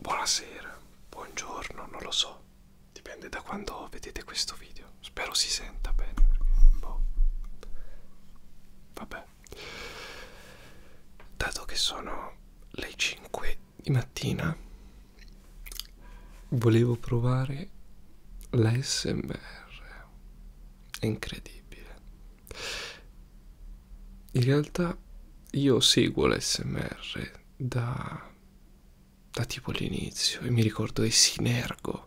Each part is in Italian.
Buonasera, buongiorno, non lo so, dipende da quando vedete questo video. Spero si senta bene perché boh. Vabbè. Dato che sono le 5 di mattina volevo provare l'ASMR, è incredibile. In realtà io seguo l'ASMR da, da tipo l'inizio e mi ricordo di Sinergo,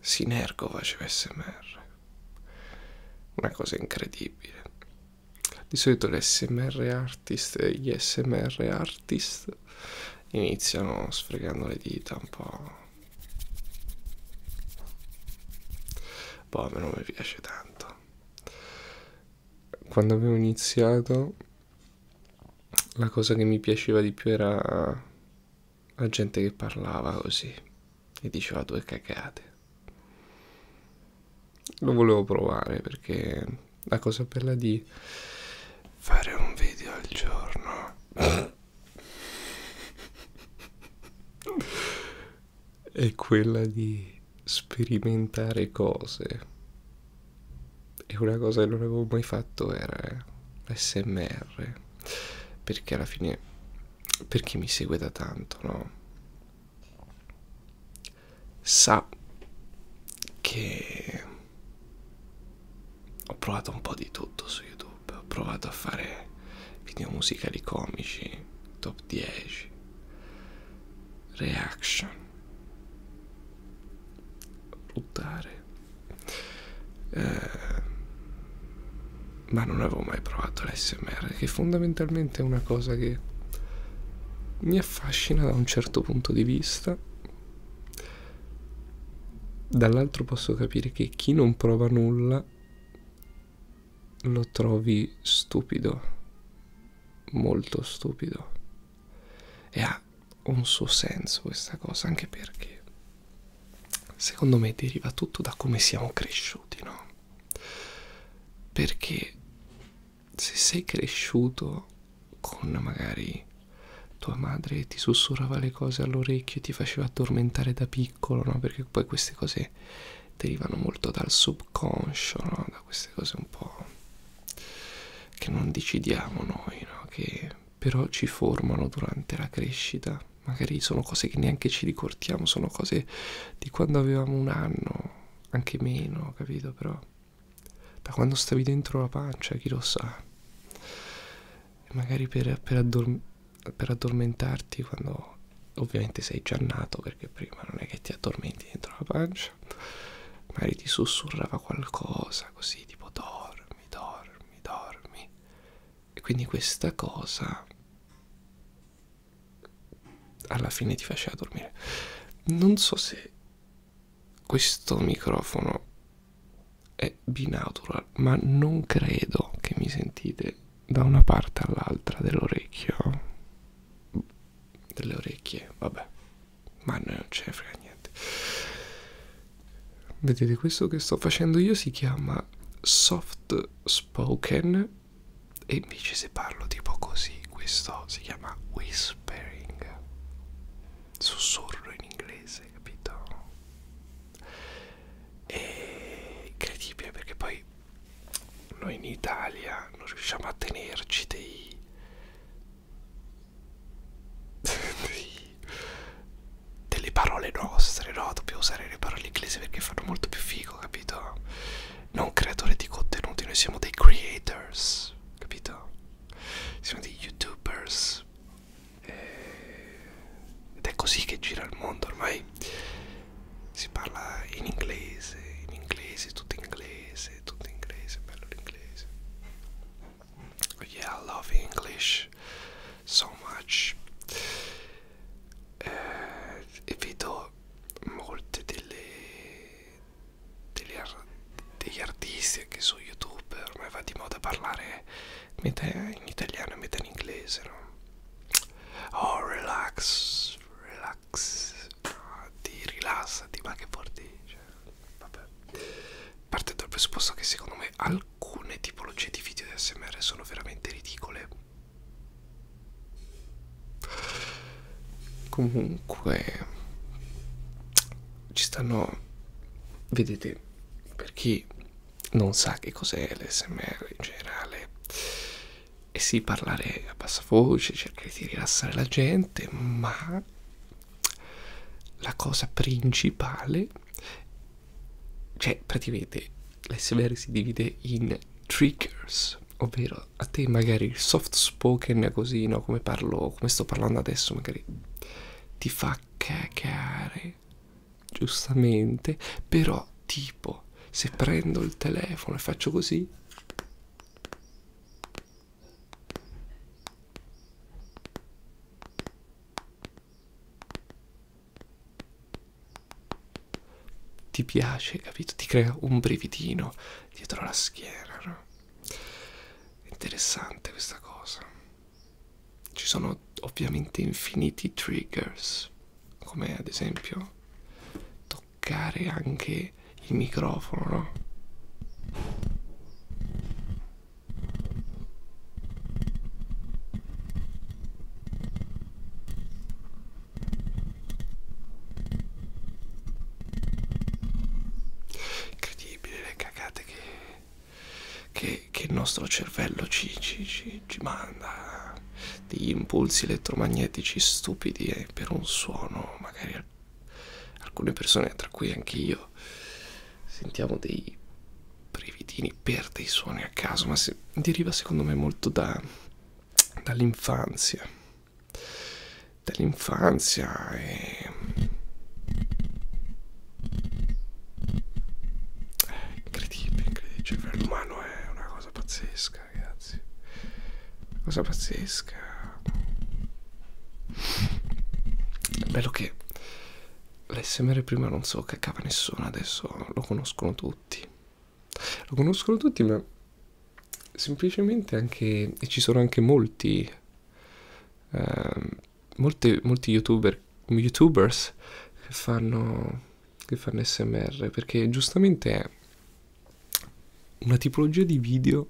Sinergo faceva ASMR, una cosa incredibile. Di solito l'SMR artist e gli smr artist iniziano sfregando le dita un po' boh a me non mi piace tanto quando avevo iniziato la cosa che mi piaceva di più era la gente che parlava così e diceva due cagate lo volevo provare perché la cosa bella di fare un video al giorno è quella di sperimentare cose e una cosa che non avevo mai fatto era smr perché alla fine per chi mi segue da tanto no sa che ho provato un po' di tutto su YouTube, ho provato a fare video musicali comici, top 10, reaction, buttare, eh, ma non avevo mai provato l'SMR, che fondamentalmente è una cosa che mi affascina da un certo punto di vista Dall'altro posso capire che chi non prova nulla lo trovi stupido, molto stupido. E ha un suo senso questa cosa, anche perché secondo me deriva tutto da come siamo cresciuti, no? Perché se sei cresciuto con magari tua madre ti sussurrava le cose all'orecchio e ti faceva addormentare da piccolo, no? Perché poi queste cose derivano molto dal subconscio, no? Da queste cose un po' che non decidiamo noi, no? Che però ci formano durante la crescita. Magari sono cose che neanche ci ricordiamo, sono cose di quando avevamo un anno, anche meno, capito? Però da quando stavi dentro la pancia, chi lo sa. E magari per, per, addorm per addormentarti quando ovviamente sei già nato perché prima non è che ti addormenti dentro la pancia, magari ti sussurrava qualcosa così tipo dormi, dormi, dormi. E quindi questa cosa alla fine ti faceva dormire. Non so se questo microfono è binaural, ma non credo che mi sentite da una parte all'altra dell'orecchio delle orecchie, vabbè, ma non ce ne frega niente. Vedete, questo che sto facendo io si chiama soft spoken e invece se parlo tipo così, questo si chiama whisper whispering, sussurro in inglese, capito? È incredibile perché poi noi in Italia non riusciamo a tenerci dei, dei delle parole nostre, no? Dobbiamo usare le parole inglesi perché fanno molto più figo, capito? non creatori di contenuti, noi siamo dei creators, capito? Siamo dei youtubers. Eh, ed è così che gira il mondo ormai. Si parla in inglese, in inglese, tutto inglese, tutto inglese, bello l'inglese. Oh yeah, I love English so much. Eh, e vedo molte delle degli, ar degli artisti che su YouTube ormai va di moda parlare metà in italiano e metà in inglese, no? Oh, relax, relax, no, ah, ti rilassati, ma che porti? Cioè, vabbè. Parte dal presupposto che secondo me alcune tipologie di video di ASMR sono veramente ridicole comunque ci stanno vedete per chi non sa che cos'è l'SMR in generale e sì parlare a bassa voce cercare di rilassare la gente ma la cosa principale cioè praticamente l'SMR si divide in triggers ovvero a te magari il soft spoken così, no, come parlo, come sto parlando adesso, magari ti fa cacare, giustamente, però tipo se prendo il telefono e faccio così ti piace, capito? Ti crea un brividino dietro la schiena, no? Interessante questa cosa. Ci sono ovviamente infiniti triggers, come ad esempio toccare anche il microfono, no? Incredibile le cagate che, che, che il nostro cervello ci, ci, ci, ci manda, eh. degli impulsi elettromagnetici stupidi eh, per un suono, magari al, alcune persone, tra cui anche io, sentiamo dei brividini per dei suoni a caso, ma se, deriva secondo me molto da, dall'infanzia dell'infanzia e incredibile, incredibile il cioè, cervello umano è una cosa pazzesca ragazzi una cosa pazzesca è bello che l'SMR prima non so che cava nessuno adesso lo conoscono tutti lo conoscono tutti, ma semplicemente anche... e ci sono anche molti... Uh, molte, molti youtuber, youtubers che fanno, che fanno smr perché giustamente è una tipologia di video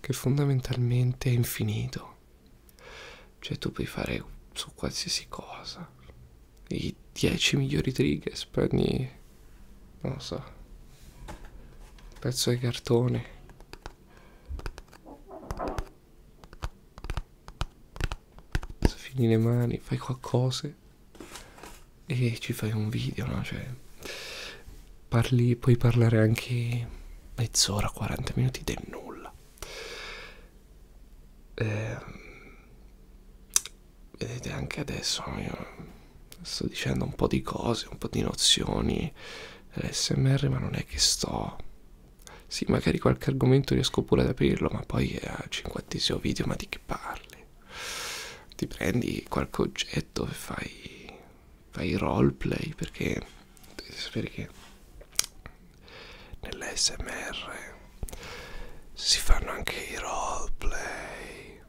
che fondamentalmente è infinito cioè tu puoi fare su qualsiasi cosa i 10 migliori triggers per ogni non lo so pezzo di cartone fini le mani fai qualcosa e ci fai un video no cioè parli puoi parlare anche mezz'ora 40 minuti del nulla eh, vedete anche adesso io sto dicendo un po' di cose, un po' di nozioni l'SMR ma non è che sto sì magari qualche argomento riesco pure ad aprirlo ma poi è al cinquantesimo video ma di che parli ti prendi qualche oggetto e fai fai roleplay perché dovete sapere che nell'SMR si fanno anche i roleplay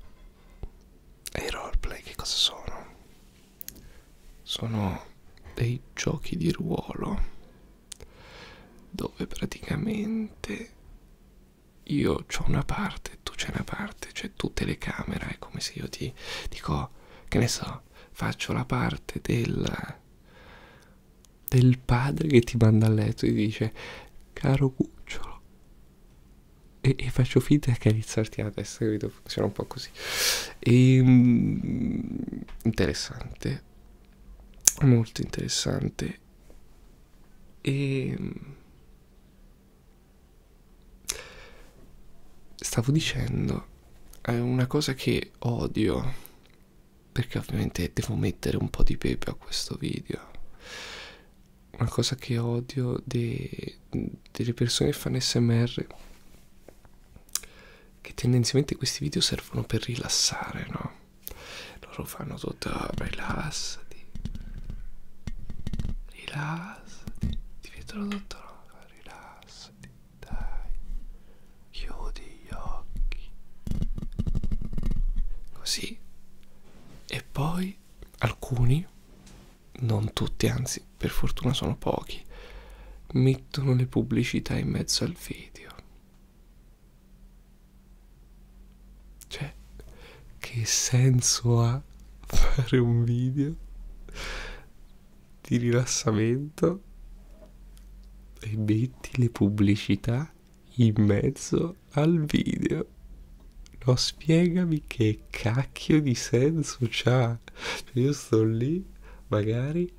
e i roleplay che cosa sono? sono dei giochi di ruolo dove praticamente io ho una parte, tu c'è una parte, c'è tu telecamera, è come se io ti dico, che ne so, faccio la parte del del padre che ti manda a letto e dice caro cucciolo e, e faccio finta che aizzarti la testa capito funziona un po' così e, ehm, mh, interessante molto interessante e ehm, stavo dicendo è una cosa che odio perché ovviamente devo mettere un po' di pepe a questo video una cosa che odio de, delle persone che fanno smr che tendenzialmente questi video servono per rilassare no loro fanno tutto ah, rilassati rilassati ti vedono tutto no? rilassati dai chiudi gli occhi così e poi alcuni non tutti anzi per fortuna sono pochi mettono le pubblicità in mezzo al video cioè che senso ha fare un video di rilassamento e metti le pubblicità in mezzo al video. No, spiegami che cacchio di senso c'ha. Io sto lì, magari,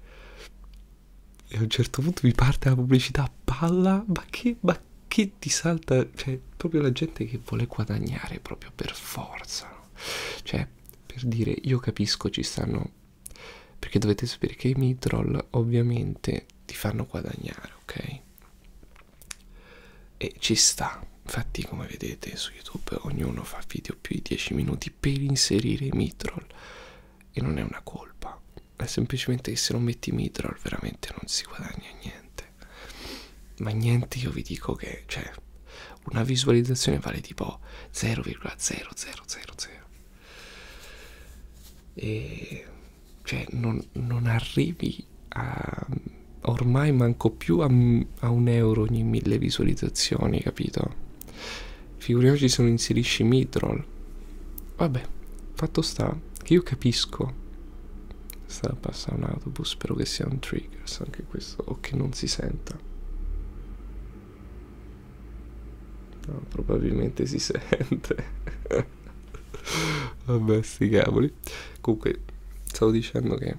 e a un certo punto mi parte la pubblicità a palla, ma che, ma che ti salta? Cioè, proprio la gente che vuole guadagnare proprio per forza. No? Cioè, per dire, io capisco ci stanno... Perché dovete sapere che i mid-roll ovviamente ti fanno guadagnare, ok? E ci sta, infatti come vedete su YouTube ognuno fa video più di 10 minuti per inserire i midroll e non è una colpa, è semplicemente che se non metti i midroll veramente non si guadagna niente. Ma niente, io vi dico che cioè, una visualizzazione vale tipo 0,0000 e cioè non, non arrivi a ormai manco più a, a un euro ogni mille visualizzazioni capito figuriamoci se non inserisci midroll vabbè fatto sta che io capisco sta passando un autobus spero che sia un triggers anche questo o che non si senta No, probabilmente si sente. Vabbè, sti cavoli. Comunque, stavo dicendo che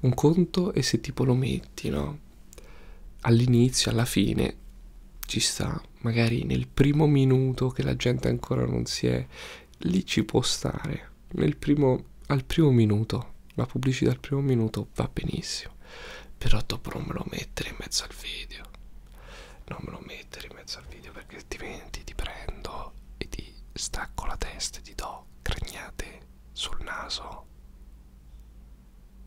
un conto è se tipo lo metti, no? All'inizio, alla fine, ci sta. Magari nel primo minuto che la gente ancora non si è... Lì ci può stare. Nel primo, al primo minuto. La pubblicità al primo minuto va benissimo. Però dopo non me lo mettere in mezzo al video non me lo mettere in mezzo al video perché altrimenti ti prendo e ti stacco la testa e ti do cregnate sul naso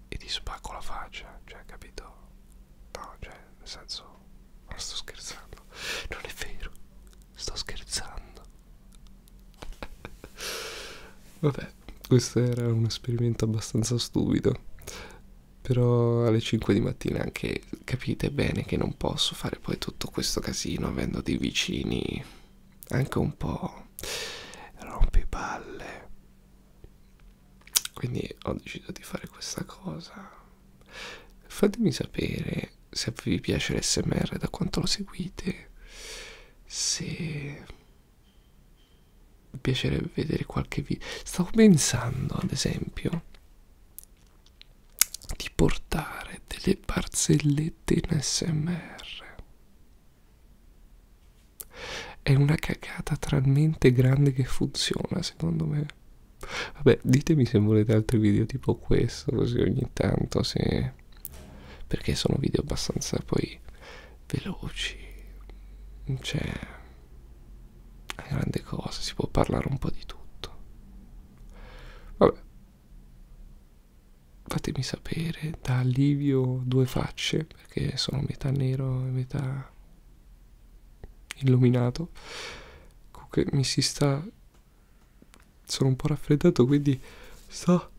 e ti spacco la faccia, cioè capito? No, cioè, nel senso, non sto scherzando, non è vero, sto scherzando. Vabbè, questo era un esperimento abbastanza stupido. Però alle 5 di mattina anche capite bene che non posso fare poi tutto questo casino avendo dei vicini anche un po' rompipalle. Quindi ho deciso di fare questa cosa. Fatemi sapere se vi piace l'SMR, da quanto lo seguite, se mi piacerebbe vedere qualche video stavo pensando ad esempio di portare delle barzellette in smr è una cagata talmente grande che funziona secondo me vabbè ditemi se volete altri video tipo questo così ogni tanto se perché sono video abbastanza poi veloci cioè è grande cosa si può parlare un po' di tutto vabbè fatemi sapere da Livio due facce perché sono metà nero e metà illuminato comunque mi si sta sono un po' raffreddato quindi sto